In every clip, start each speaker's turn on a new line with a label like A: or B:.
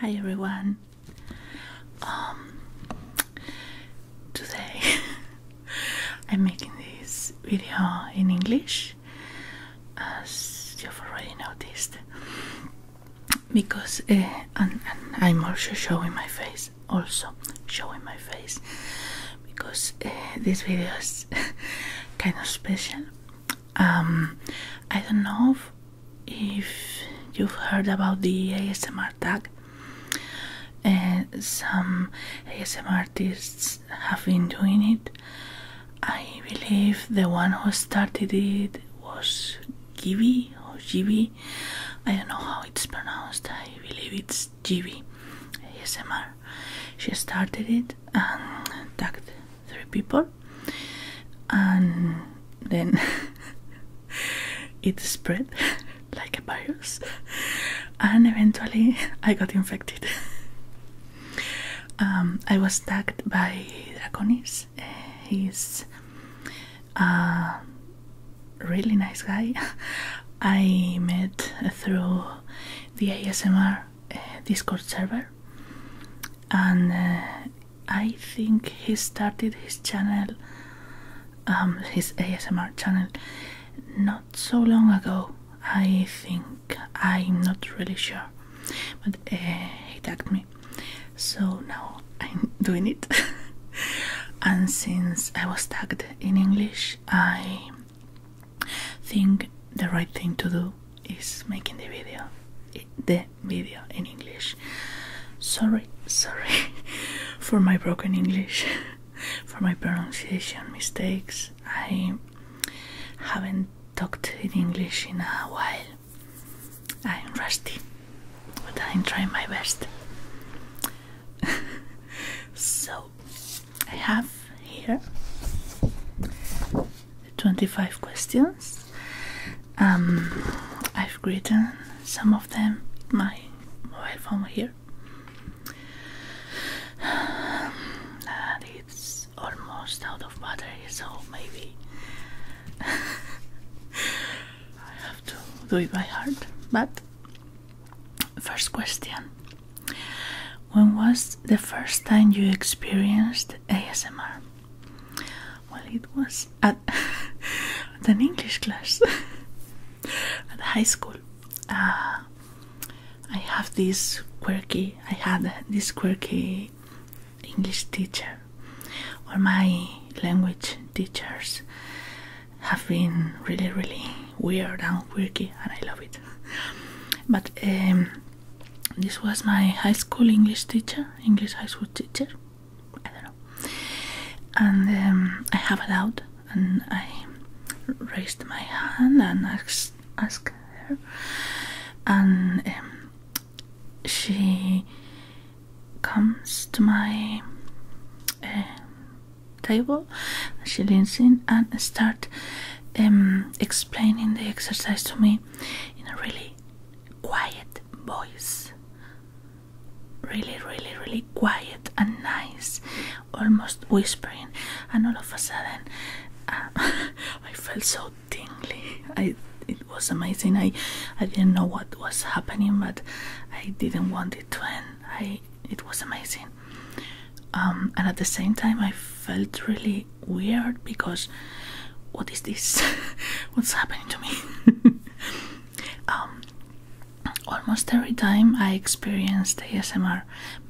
A: Hi everyone. Um, today I'm making this video in English, as you've already noticed because eh, I'm also showing my face also showing my face because eh, this video is kind of special um, I don't know if you've heard about the ASMR tag and eh, some ASMR artists have been doing it I believe the one who started it was Gibby or Gibby I don't know how it's pronounced. I believe it's GB. She started it and tagged three people, and then it spread like a virus, and eventually I got infected. Um, I was tagged by Draconis he's a really nice guy. I met through the ASMR uh, Discord server, and uh, I think he started his channel, um, his ASMR channel, not so long ago. I think I'm not really sure, but uh, he tagged me so now I'm doing it. and since I was tagged in English, I think the right thing to do is making the video, the video in English. Sorry, sorry for my broken English, for my pronunciation mistakes. I haven't talked in English in a while I'm rusty, but I'm trying my best. so, I have here the 25 questions. Um, I've written some of them in my mobile phone here. it's almost out of battery, so maybe I have to do it by heart. But first question: When was the first time you experienced ASMR? Well, it was at, an English class at high school. Uh, I have this quirky. I had this quirky English teacher or my language teachers have been really, really weird and quirky, and I love it. But um, this was my high school English teacher, English high school teacher. I don't know. And um, I have it out, and I raised my hand and asked, asked her, and um, she comes to my uh, table. She leans in and start um, explaining the exercise to me in a really quiet voice. Really, really, really quiet and nice, almost whispering. And all of a sudden, uh, I felt so tingly. I it was amazing. I I didn't know what was happening, but I didn't want it to end. I it was amazing. Um, and at the same time, I felt really weird because what is this? What's happening to me? Um, almost every time I experienced ASMR,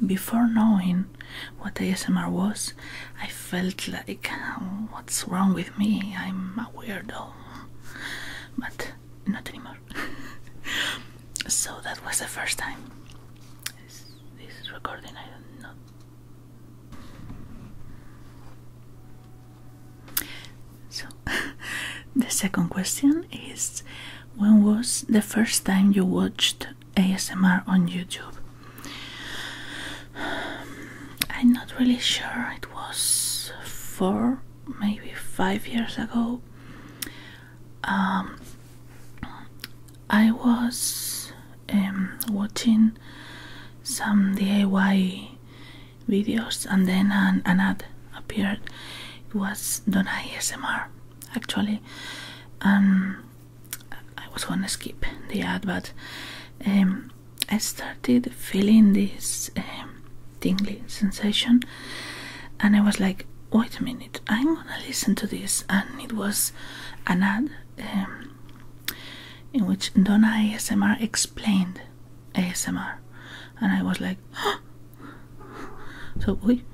A: before knowing what ASMR was, I felt like, what's wrong with me? I'm a weirdo but not anymore. so that was the first time. this recording? I don't So, the second question is When was the first time you watched ASMR on YouTube? I'm not really sure, it was four, maybe five years ago. Um, I was um, watching some DIY videos and then an, ad appeared. It was Donna ASMR actually. Um, I was gonna skip the ad, but I started feeling this um, tingling sensation, and I was like, "Wait a minute! I'm gonna listen to this." And it was an ad um, in which Donna ASMR explained ASMR, and I was like, "So we."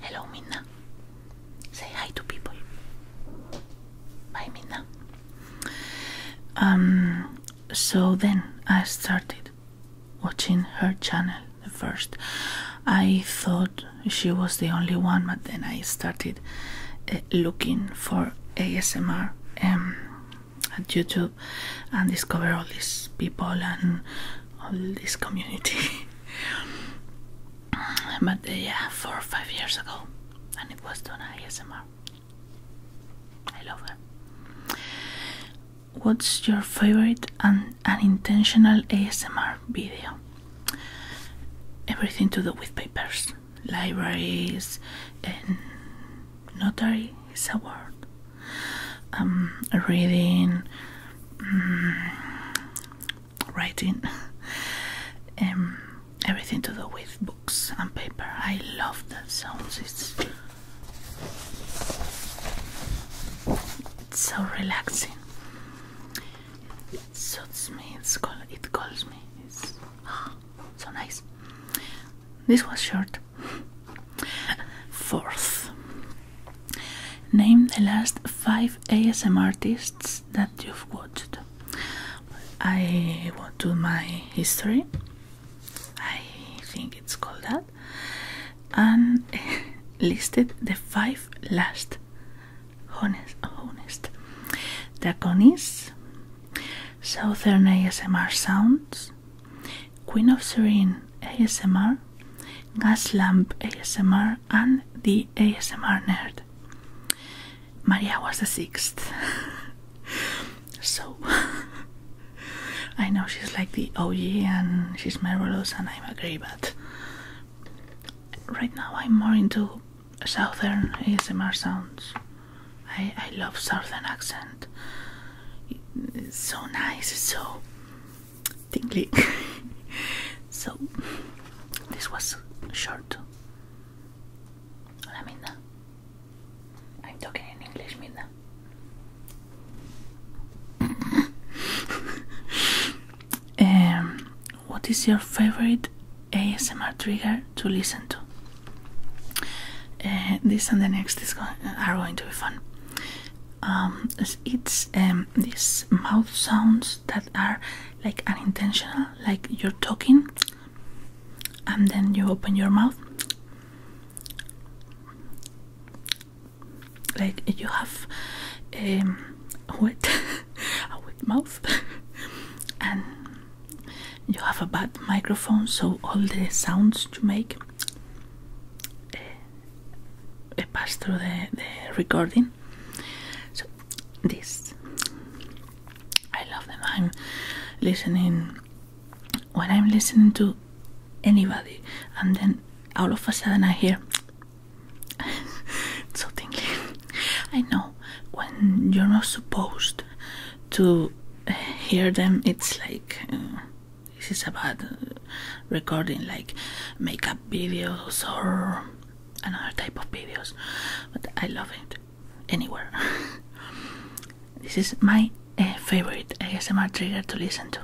A: Hello, Minna. Say hi to people. Bye, Minna. Um, so then I started watching her channel at first. I thought she was the only one, but then I started eh, looking for ASMR on um, YouTube and discover all these people and all this community. but eh, yeah, four or five years ago and it was done ASMR. I love her. What's your favorite and unintentional ASMR video? Everything to do with papers, libraries, and notary is a word. Um, reading, mm, writing, um, everything to do with books and paper. I love that sounds. It's, so relaxing. It suits me. it calls me. It's so nice. This was short. Fourth, name the last five ASM artists that you've watched. I want to my history. I think it's called that, and listed the five last honest, honest draconies, southern ASMR sounds, Queen of Serene ASMR, gas lamp ASMR, and the ASMR nerd. Maria was the sixth. so I know she's like the OG and she's marvelous and I'm agree, but right now I'm more into southern ASMR sounds. I, I love southern accent. It's so nice, it's so tingly. so this was short Hola Minda. I'm talking in English, Minda. Um, what is your favorite ASMR trigger to listen to? Uh, this and the next are going to be fun. Um, it's um, these mouth sounds that are like unintentional, like you're talking and then you open your mouth like you have um, wet, a wet mouth and you have a bad microphone so all the sounds you make eh, eh, pass through the recording so this I love them. I'm listening when I'm listening to anybody, and then all of a sudden I hear it's so I know when you're not supposed to hear them, it's like uh, this is about recording like makeup videos or another type of videos, but I love it anywhere. this is my uh, favorite ASMR trigger to listen to.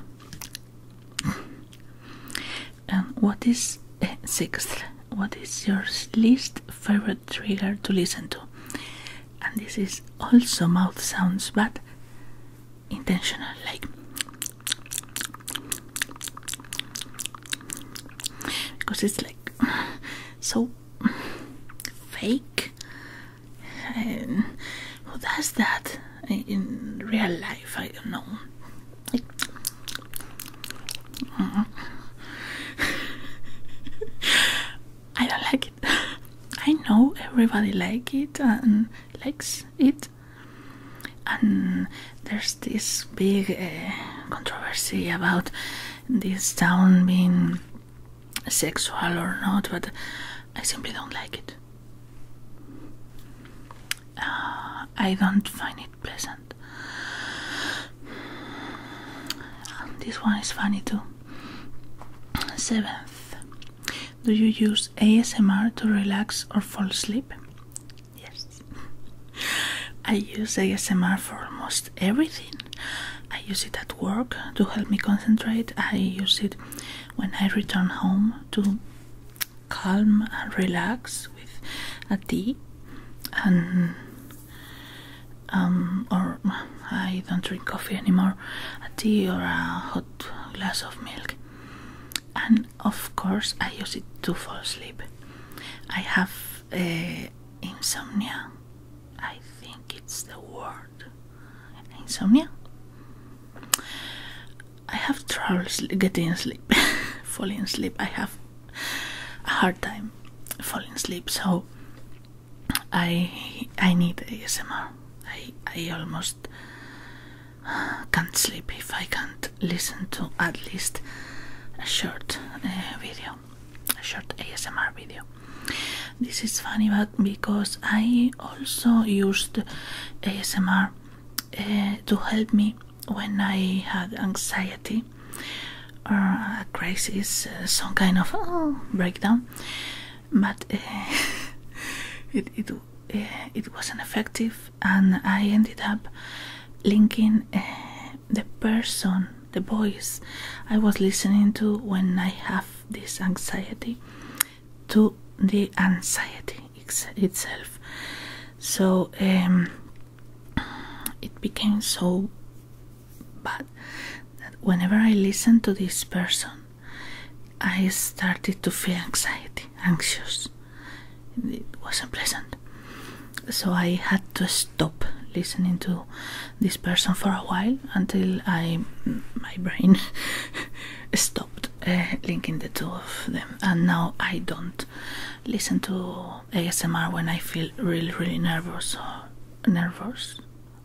A: And um, what is eh, sixth? What is your least favorite trigger to listen to? And this is also mouth sounds, but intentional, like because it's like so fake. who does that in real life? I don't know. I don't like it. I know everybody like it and likes it, and there's this big uh, controversy about this town being sexual or not, but I simply don't like it. Uh, I don't find it pleasant. Um, this one is funny too. Seventh, do you use ASMR to relax or fall asleep? Yes. I use ASMR for almost everything. I use it at work to help me concentrate. I use it when I return home to calm and relax with a tea and um or I don't drink coffee anymore, a tea or a hot glass of milk. And of course I use it to fall asleep. I have uh, insomnia. I think it's the word insomnia. I have trouble getting sleep, falling asleep. I have a hard time falling asleep, so I I need ASMR. I I almost uh, can't sleep if I can't listen to at least a short eh, video, a short ASMR video. This is funny, but because I also used ASMR eh, to help me when I had anxiety or a crisis, eh, some kind of oh, breakdown. But it it it wasn't effective, and I ended up linking the person, the voice I was listening to when I have this anxiety to the anxiety itself. So um, it became so bad that whenever I listened to this person, I started to feel anxiety, anxious it wasn't pleasant. So I had to stop listening to this person for a while until I my brain stopped eh, linking the two of them, and now I don't listen to ASMR when I feel really, really nervous or nervous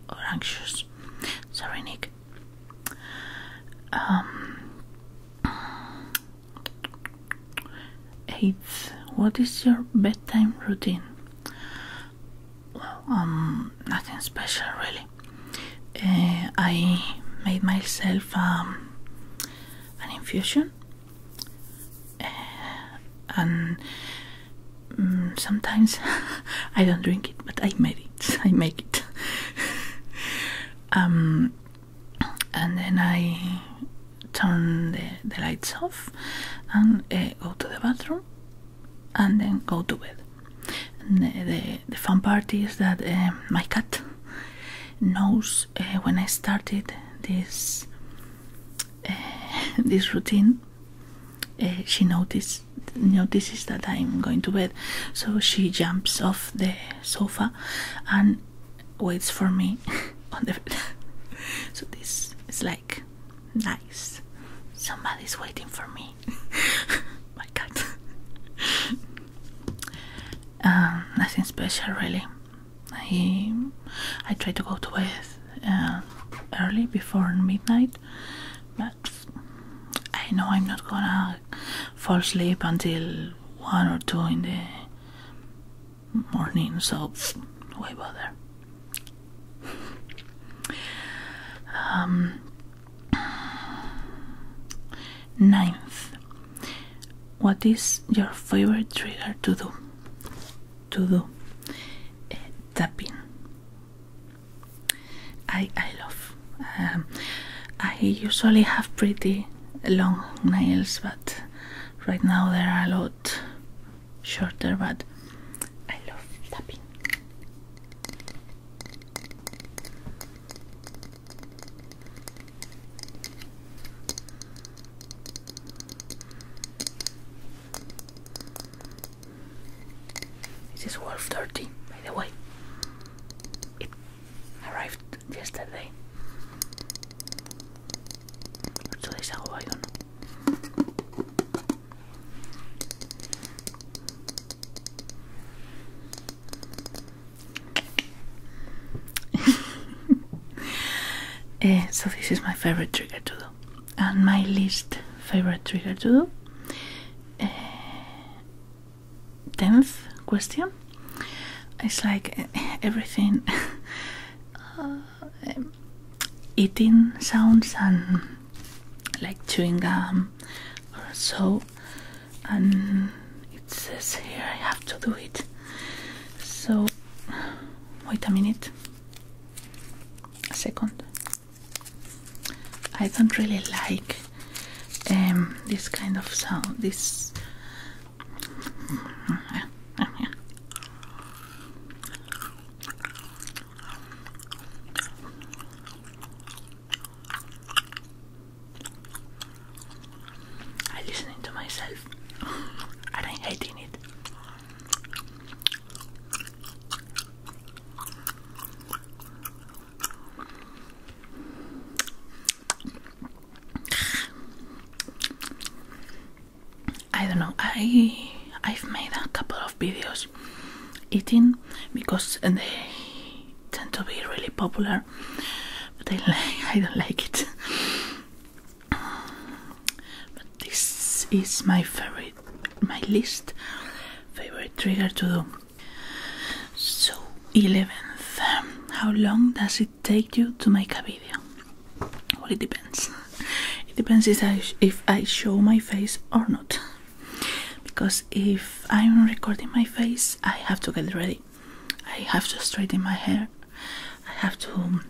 A: or anxious. Sorry, Nick. Um, 8. What is your bedtime routine? Well, um, nothing special really. Uh, I made myself um, an infusion uh, and mm, sometimes I don't drink it, but I made it. I make it. um, and then I turn the, the lights off and eh, go to the bathroom and then go to bed. the, the, fun part is that eh, my cat knows eh, when I started this this routine. she notices notices that I'm going to bed, so she jumps off the sofa and waits for me on the so this is like nice somebody's waiting for me my god um, nothing special really I I try to go to bed uh, early before midnight but I know I'm not gonna fall asleep until one or two in the morning, so why bother? Um, ninth, what is your favorite trigger to do? To do eh, tapping. I I love. Um, I usually have pretty long nails, but right now there are a lot shorter but I love tapping this is Wolf 30 by the way arrived yesterday. Eh, so this is my favorite trigger to do, and my least favorite trigger to do. Eh, tenth question. It's like eh, everything uh, um, eating sounds and like chewing gum or so. And it says here I have to do it. So, wait a minute. A second. I don't really like um, this kind of sound. This I am listening to myself and I'm hating it. I don't know. I I've made a couple of videos eating because they tend to be really popular, but I don't like it. but this is my favorite, my least favorite trigger to do. So eleventh, how long does it? take you to make a video? Well, it depends. It depends if I, show my face or not. Because if I'm recording my face, I have to get ready. I have to straighten my hair. I have to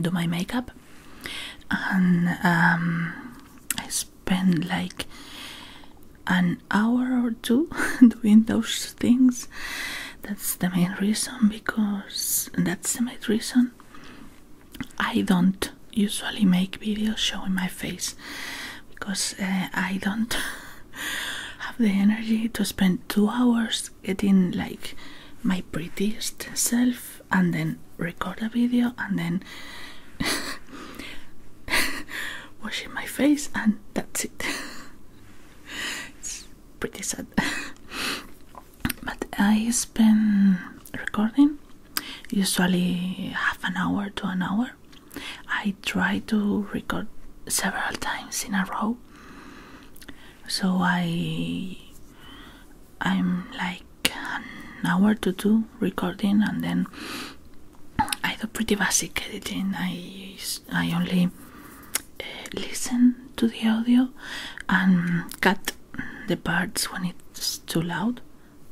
A: do my makeup. And um, I spend like an hour or two doing those things. That's the main reason because that's the main reason I don't usually make videos showing my face because uh, I don't have the energy to spend two hours getting like my prettiest self and then record a video and then washing my face and that's it. pretty sad. but I spend recording usually half an hour to an hour. I try to record several times in a row. So I I'm like an hour to two recording and then I do pretty basic editing. I I only Eh, listen to the audio and cut the parts when it's too loud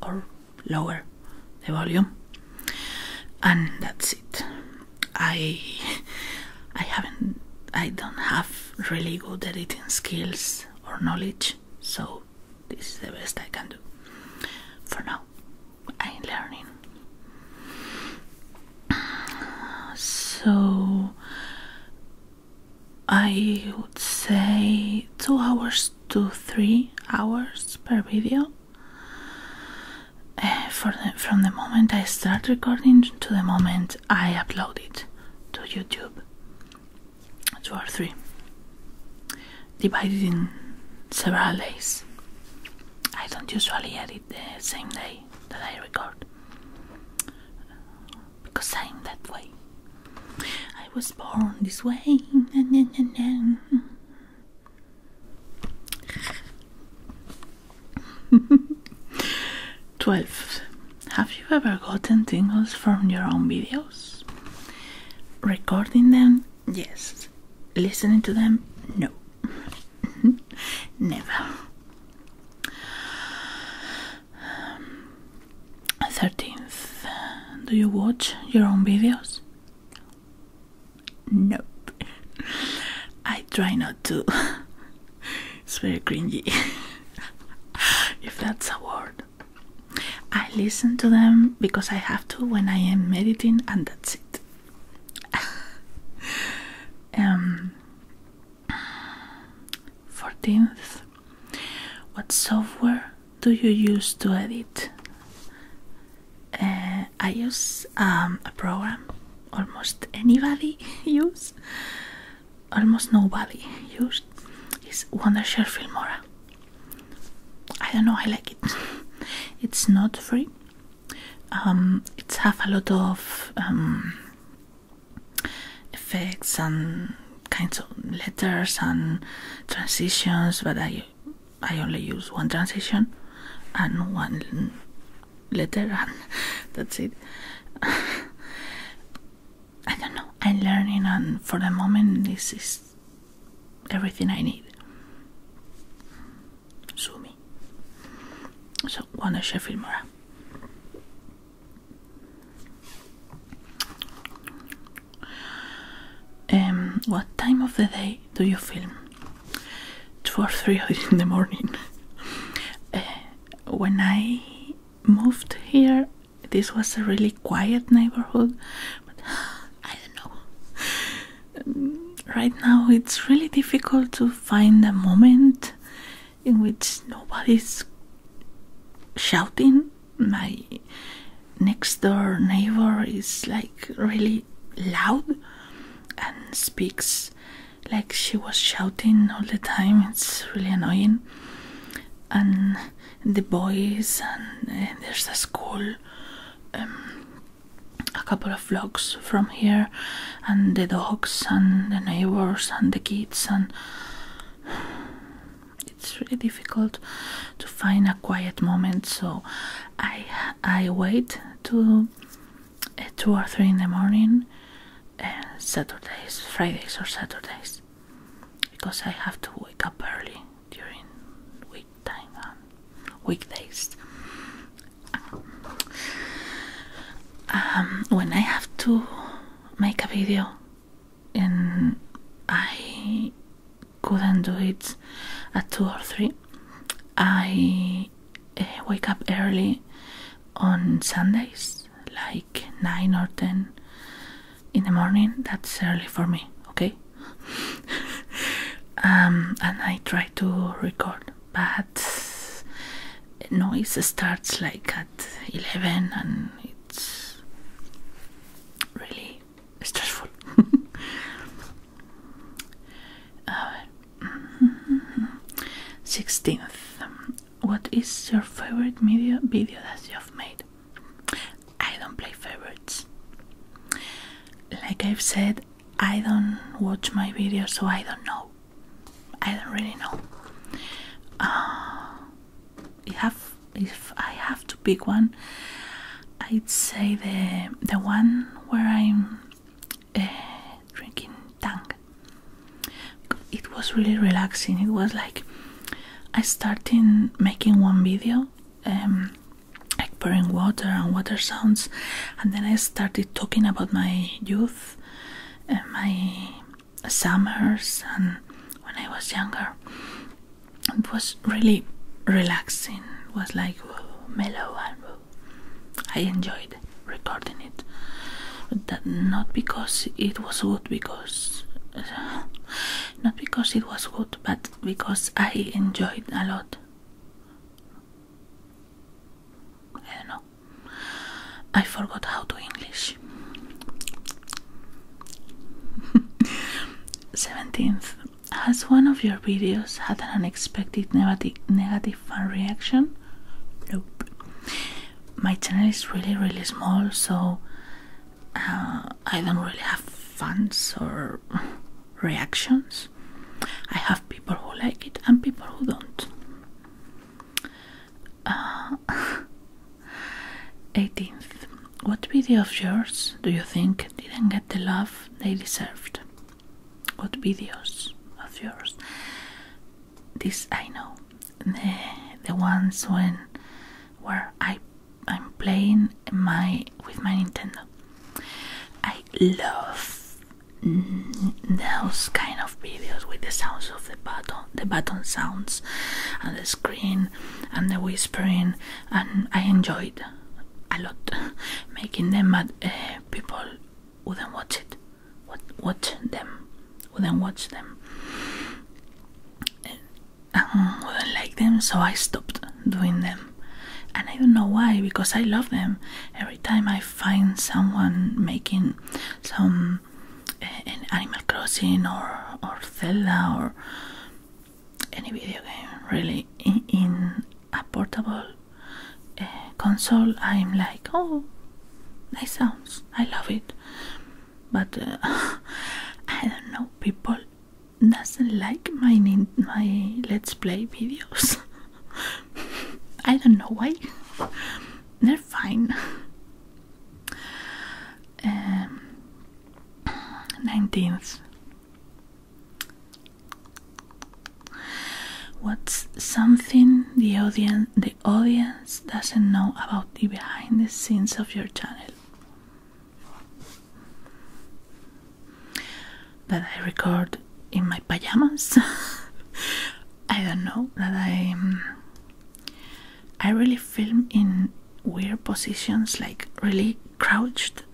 A: or lower the volume and that's it i i haven't i don't have really good editing skills or knowledge so this is the best i can do for now I'm learning. So I would say two hours to three hours per video. Eh, for the, from the moment I start recording to the moment I upload it to YouTube, two or three, divided in several days. I don't usually edit the same day that I record because I'm that way. I was born this way. Twelve. Have you ever gotten tingles from your own videos? Recording them, yes. Listening to them, no. Never. 13th. Do you watch your own videos? Nope. I try not to. it's very cringy. if that's a word. I listen to them because I have to when I am meditating, and that's it. 14th um, what software do you use to edit uh, i use um, a program almost anybody use almost nobody used is wondershare filmora i don't know i like it it's not free um, it's have a lot of um, effects and kinds of letters and transitions but I I only use one transition and one letter and that's it I don't know I'm learning and for the moment this is everything I need Sue me. So, one jeszcze Filmora. Um, what time of the day do you film? Two or three in the morning. Eh, when I moved here, this was a really quiet neighborhood, but I don't know right now it's really difficult to find a moment in which nobody's shouting. My next door neighbor is like really loud and speaks like she was shouting all the time. It's really annoying. And the boys, and eh, there's a school um, a couple of vlogs from here and the dogs and the neighbors and the kids and it's really difficult to find a quiet moment so i i wait to eh, 2 or 3 in the morning and eh, saturdays fridays or saturdays because i have to wake up early during week date weekdays. Um, when I have to make a video and I couldn't do it at two or three, I eh, wake up early on Sundays, like nine or ten in the morning. That's early for me, okay? Um, and I try to record but noise starts like at 11 and it's really stressful. Mm-hmm. Sixteenth, what is your favorite media video that you have made? I don't play favorites. Like I've said, I don't watch my videos, so I don't know. I don't really know. Uh, if I have to pick one, I'd say the the one where I'm uh, drinking tang. It was really relaxing. It was like I started making one video. Um, like pouring water and water sounds, and then I started talking about my youth, and my summers, and when I was younger. It was really relaxing. It was like mellow, and I enjoyed recording it. But not because it was good, because not because it was good, but because I enjoyed a lot. I eh, don't know. I forgot how to English. 17th. Has one of your videos had an unexpected negative negative fan reaction? Nope. My channel is really really small, so uh, I don't really have fans or reactions. I have people who like it and people who don't. 18th. Uh, what video of yours do you think didn't get the love they deserved? What videos of yours? This I know. The, the ones when where I I'm playing my with my Nintendo. I love those kind of videos with the sounds of the button, the button sounds, and the screen, and the whispering, and I enjoyed a lot making them, but uh, people wouldn't watch it. Watch them, wouldn't watch them, uh, wouldn't like them, so I stopped doing them. And I don't know why, because I love them. Every time I find someone making some eh, an Animal Crossing or or Zelda or any video game, really, in, a portable eh, console, I'm like, oh, nice sounds. I love it. But eh, I don't know, people doesn't like my my let's play videos. I don't know why. They're fine. Um, 19th. What's something the audience the audience doesn't know about the behind the scenes of your channel? that I record in my pajamas. I don't know that I um, I really film in weird positions, like really crouched.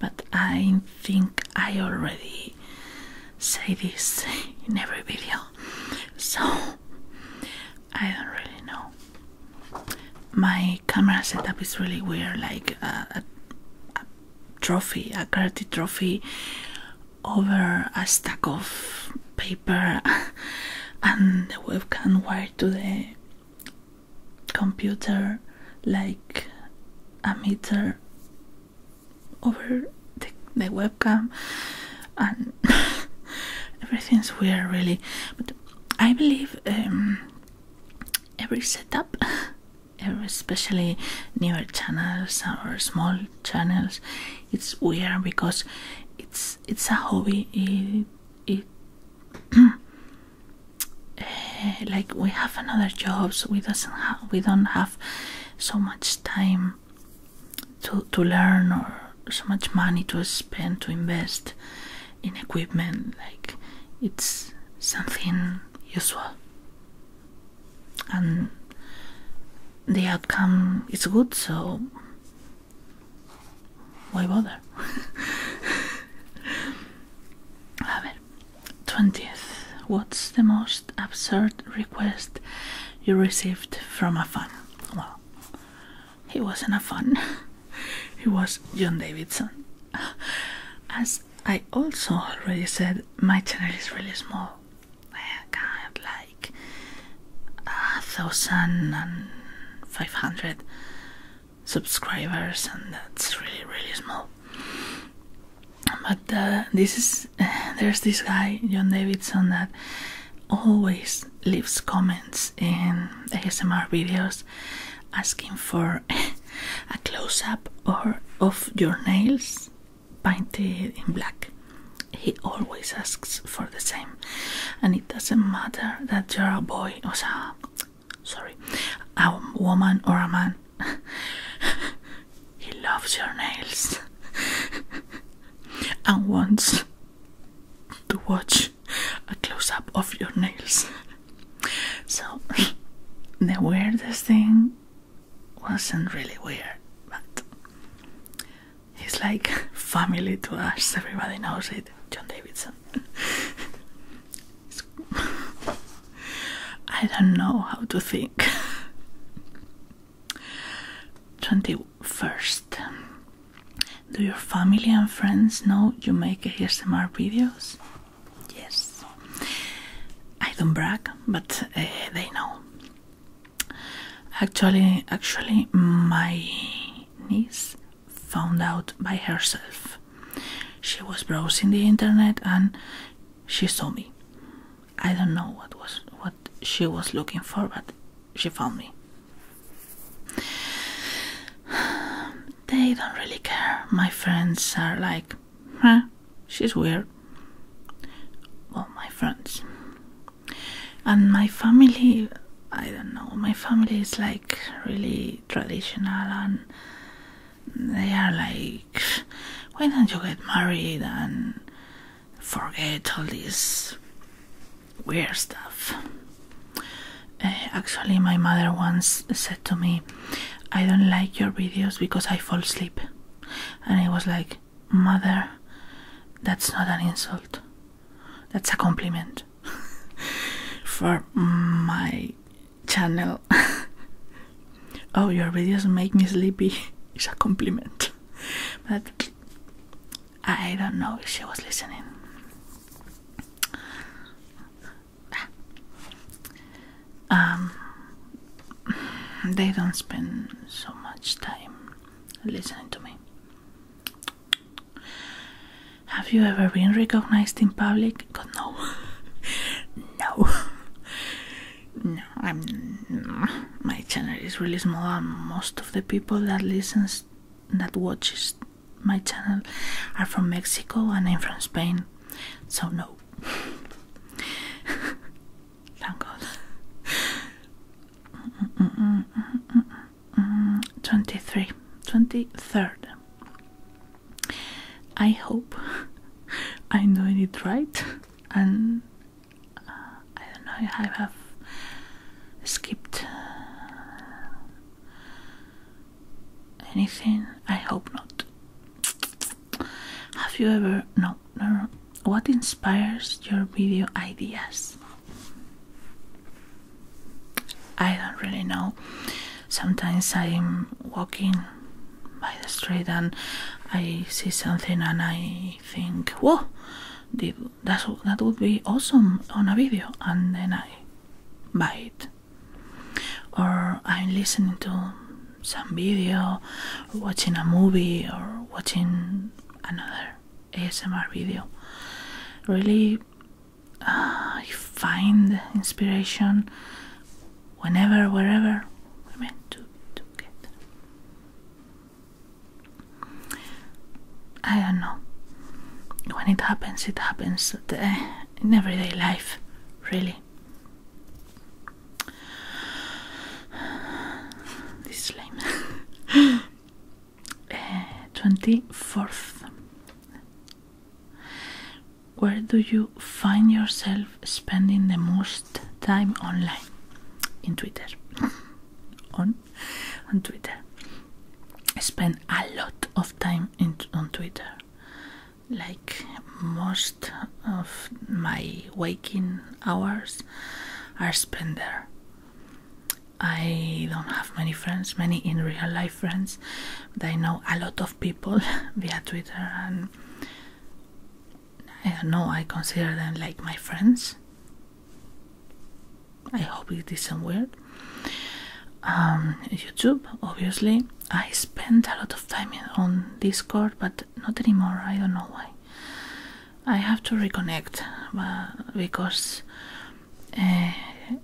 A: But I think I already say this in every video, so I don't really know my camera setup is really weird, like a, trophy, a karate trophy, over a stack of paper, and the webcam wire to the computer, like a meter over the, webcam, and everything's weird, really. But I believe um, every setup, especially newer channels or small channels, it's weird because it's it's a hobby. It, it eh, like we have another jobs. We doesn't have we don't have so much time to to learn or so much money to spend to invest in equipment like it's something usual and the outcome is good so why bother a ver 20th what's the most absurd request you received from a fan well he wasn't a fan. he was John Davidson. As I also already said, my channel is really small. I got like a thousand and five hundred subscribers, and that's really really small. But uh, this is there's this guy John Davidson that always leaves comments in ASMR videos asking for a close-up or of your nails painted in black. He always asks for the same, and it doesn't matter that you're a boy or a, sorry, a woman or a man. he loves your nails and wants to watch a close up of your nails. so, the weirdest thing wasn't really weird, but he's like family to us, everybody knows it. John Davidson. I don't know how to think. 21st do your family and friends know you make ASMR videos? Yes. I don't brag, but eh, they know. Actually, actually, my niece found out by herself. She was browsing the internet and she saw me. I don't know what was what she was looking for, but she found me. They don't really care. My friends are like, huh, she's weird. Well, my friends. And my family, I don't know, my family is like really traditional and they are like, why don't you get married and forget all this weird stuff. Eh, actually, my mother once said to me, I don't like your videos because I fall asleep. And I was like, Mother, that's not an insult, that's a compliment for my channel. oh, your videos make me sleepy It's a compliment. But I don't know if she was listening. Ah. Um, they don't spend so much time listening to me. Have you ever been recognized in public? God, no. no. No, I'm. My channel is really small, and most of the people that listens, that watches my channel are from Mexico and I'm from Spain, so no. Thank God. 23, I hope I'm it right, and uh, I don't know, if I have skipped Anything? I hope not. Have you ever. No, no, What inspires your video ideas? I don't really know. Sometimes I'm walking by the street and I see something and I think, whoa, did, that's that would be awesome on a video and then I buy it or I'm listening to some video watching a movie or watching another ASMR video really uh, find inspiration whenever wherever I meant to, to get I don't know. When it happens, it happens eh, in everyday life, really. This is lame. Eh, Twenty Where do you find yourself spending the most time online? In Twitter. On on Twitter. I spend a lot of time in, on Twitter. Like most of my waking hours are spent there. I don't have many friends, many in real life friends, but I know a lot of people via Twitter, and I know, I consider them like my friends. I hope it isn't weird. Um, YouTube, obviously. I spend a lot of time on Discord, but not anymore. I don't know why. I have to reconnect because eh,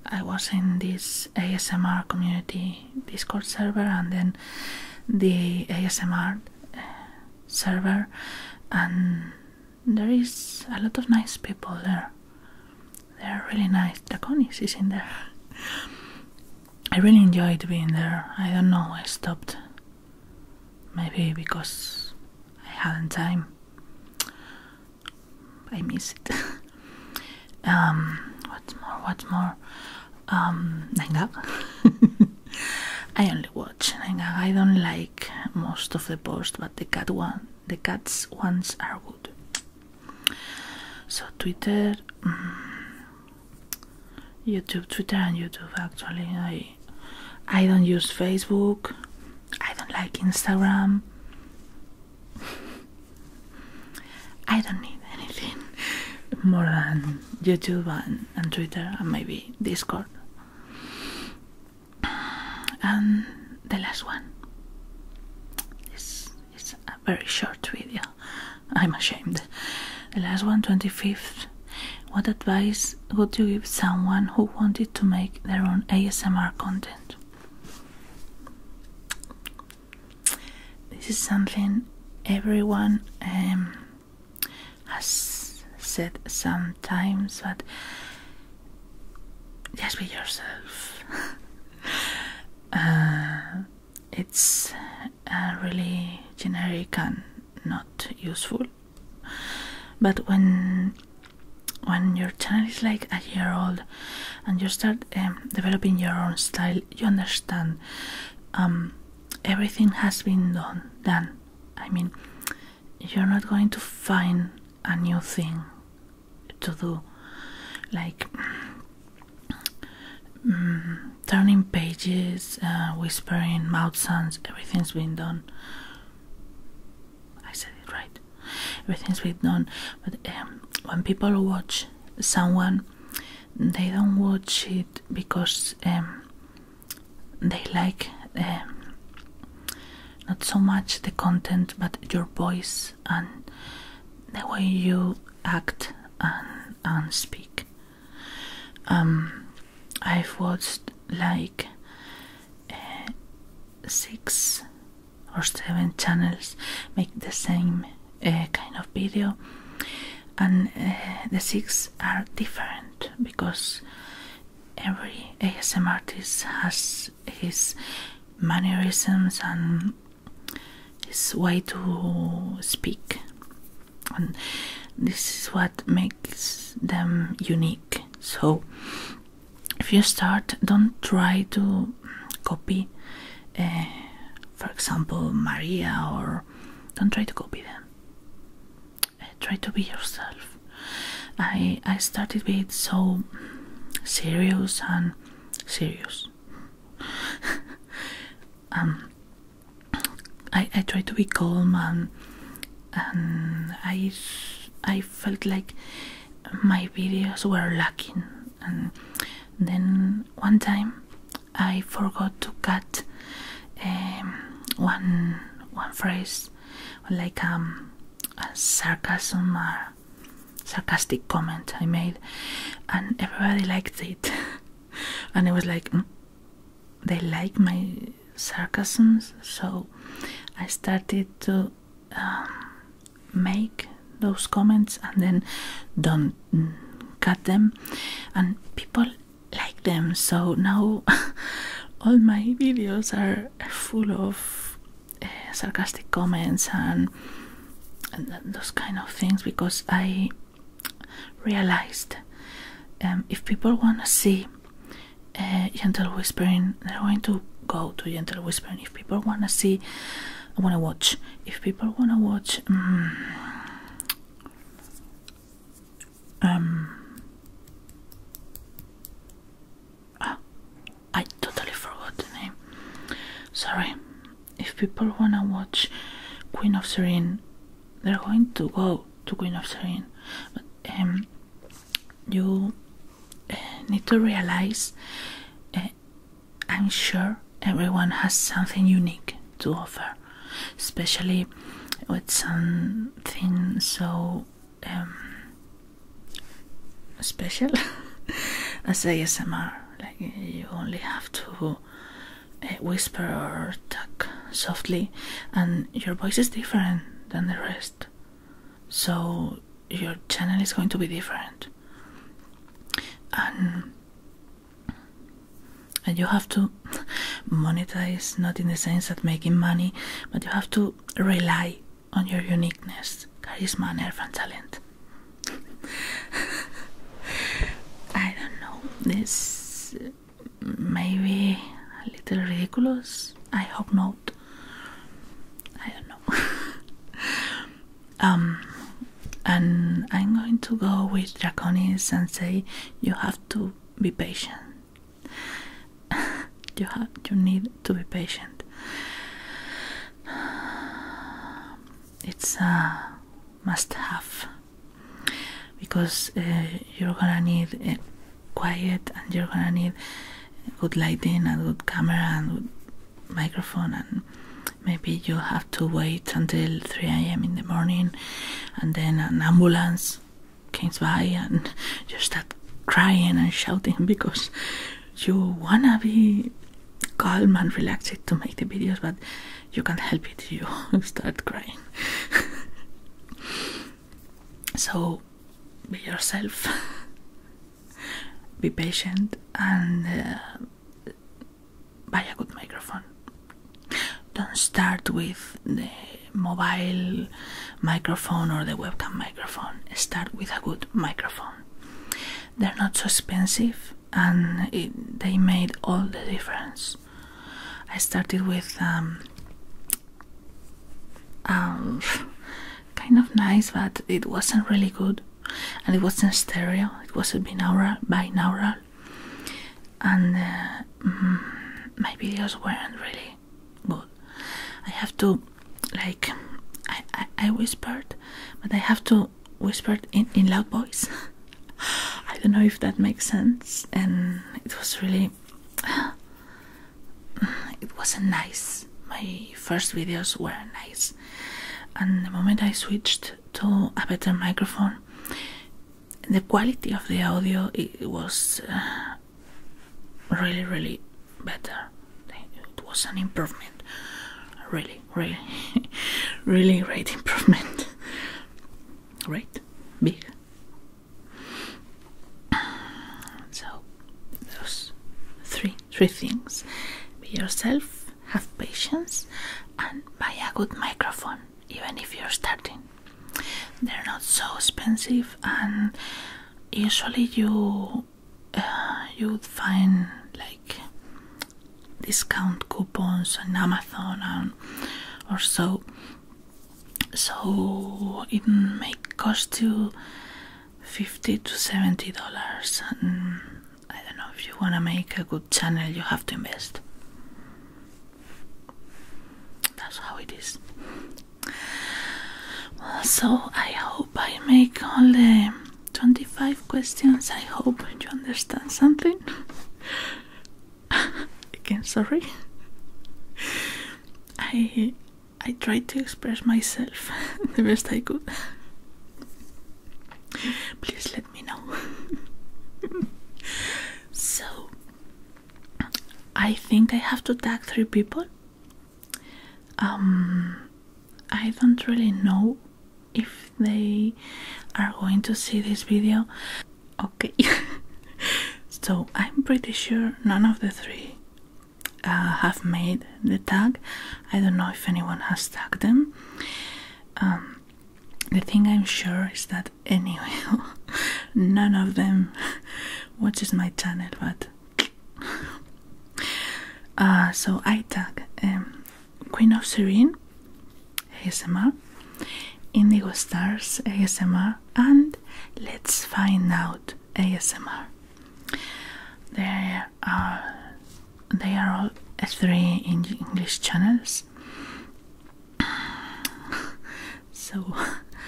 A: I was in this ASMR community Discord server and then the ASMR eh, server, and there is a lot of nice people there. They're really nice. Draconis is in there. I really enjoyed being there. I don't know, I stopped. Maybe because I hadn't time. I miss it. um, what's more? What's more? Um, I only watch Nangaga. I don't like most of the posts, but the cat one the cat's ones are good. So Twitter, mm, YouTube, Twitter and YouTube. Actually, I I don't use Facebook. I don't like Instagram. I don't need anything more than YouTube and, and Twitter and maybe Discord and um, the last one is a very short video. I'm ashamed. The last one, 25th. What advice would you give someone who wanted to make their own ASMR content? This is something everyone um, has said sometimes, but just be yourself. Uh, it's really generic and not useful. But when when your channel is like a year old and you start um, developing your own style, you understand um, everything has been done. Done. I mean, you're not going to find a new thing to do, like mm, turning pages, uh, whispering, mouth sounds. Everything's been done. I said it right. Everything's been done. But um, when people watch someone, they don't watch it because um, they like. Um, not so much the content but your voice and the way you act and, and speak um, I've watched like uh, six or seven channels make the same uh, kind of video and uh, the six are different because every ASM artist has his mannerisms and his way to speak and this is what makes them unique so if you start don't try to copy eh, for example maria or don't try to copy them eh, try to be yourself I I started being so serious and serious. um, I I tried to be calm and and I I felt like my videos were lacking and then one time I forgot to cut um, one one phrase like um, a sarcasm or sarcastic comment I made, and everybody liked it. and it was like, mm, they like my sarcasms, so I started to um, make those comments and then don't mm, cut them, and people like them. So now all my videos are full of eh, sarcastic comments and, those kind of things because I realized um, if people want to see eh, gentle whispering, they're going to go to gentle whispering. If people want to see, want to watch. If people want to watch. Mm, um Ah, I totally forgot the name. Sorry. If people wanna watch Queen of Serene, they're going to go to Queen of Serene. But um, you uh, need to realize uh, I'm sure everyone has something unique to offer, especially with something so um, special as ASMR. Like you only have to uh, whisper or talk softly, and your voice is different than the rest. So your channel is going to be different, and and you have to monetize not in the sense of making money, but you have to rely on your uniqueness, charisma, nerve, and talent. I don't know. This maybe a little ridiculous. I hope not. I don't know. um, and I'm going to go with Draconis and say you have to be patient. you have you need to be patient. It's a must-have because uh, you're gonna need uh, quiet and you're gonna need good lighting and good camera and good microphone and maybe you have to wait until 3 a.m. in the morning and then an ambulance comes by and you start crying and shouting because you wanna be calm and relaxed to make the videos, but you can't help it, you start crying. so be yourself, be patient, and uh, buy a good microphone. Don't start with the mobile microphone or the webcam microphone. Start with a good microphone. They're not so expensive and they made all the difference. I started with um, um, kind of nice, but it wasn't really good, and it wasn't stereo. It was binaural, binaural, and uh, mm, my videos weren't really okay but I have to like I I, whispered but I have to whisper in in loud voice I don't know if that makes sense and it was really it wasn't nice my first videos were nice and the moment I switched to a better microphone the quality of the audio it was uh, really really better it was an improvement really really really great improvement great big so those three three things be yourself have patience and buy a good microphone even if you're starting they're not so expensive, and usually you uh, you'd find like discount coupons on Amazon and or so. So it may cost you fifty to seventy dollars. And I don't know if you want to make a good channel, you have to invest. That's how it is. So I hope I make only 25 questions. I hope you understand something. Again, sorry. I I tried to express myself the best I could. Please let me know. so I think I have to tag three people. Um, I don't really know if they are going to see this video. Okay, so I'm pretty sure none of the three uh, have made the tag. I don't know if anyone has tagged them. Um, the thing I'm sure is that anyway, none of them watches my channel, but ah, so I tag um, Queen of Serene ASMR, Indigo Stars ASMR, and Let's Find Out ASMR. There are they are all three English channels so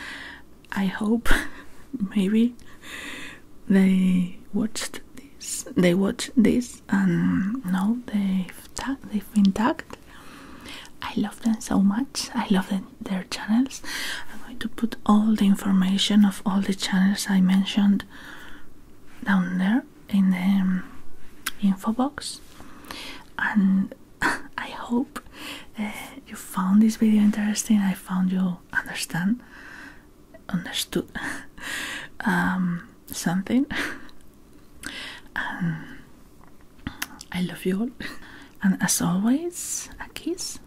A: I hope maybe they watched this. They watched this and now they've been tagged. I love them so much. I love their channels. I'm going to put all the information of all the channels I mentioned down there in the um, info box and I hope uh, you found this video interesting. I found you understand, understood um, something. Um, I love you all. And as always, a kiss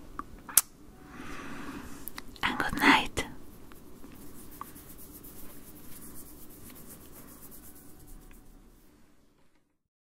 A: and good night.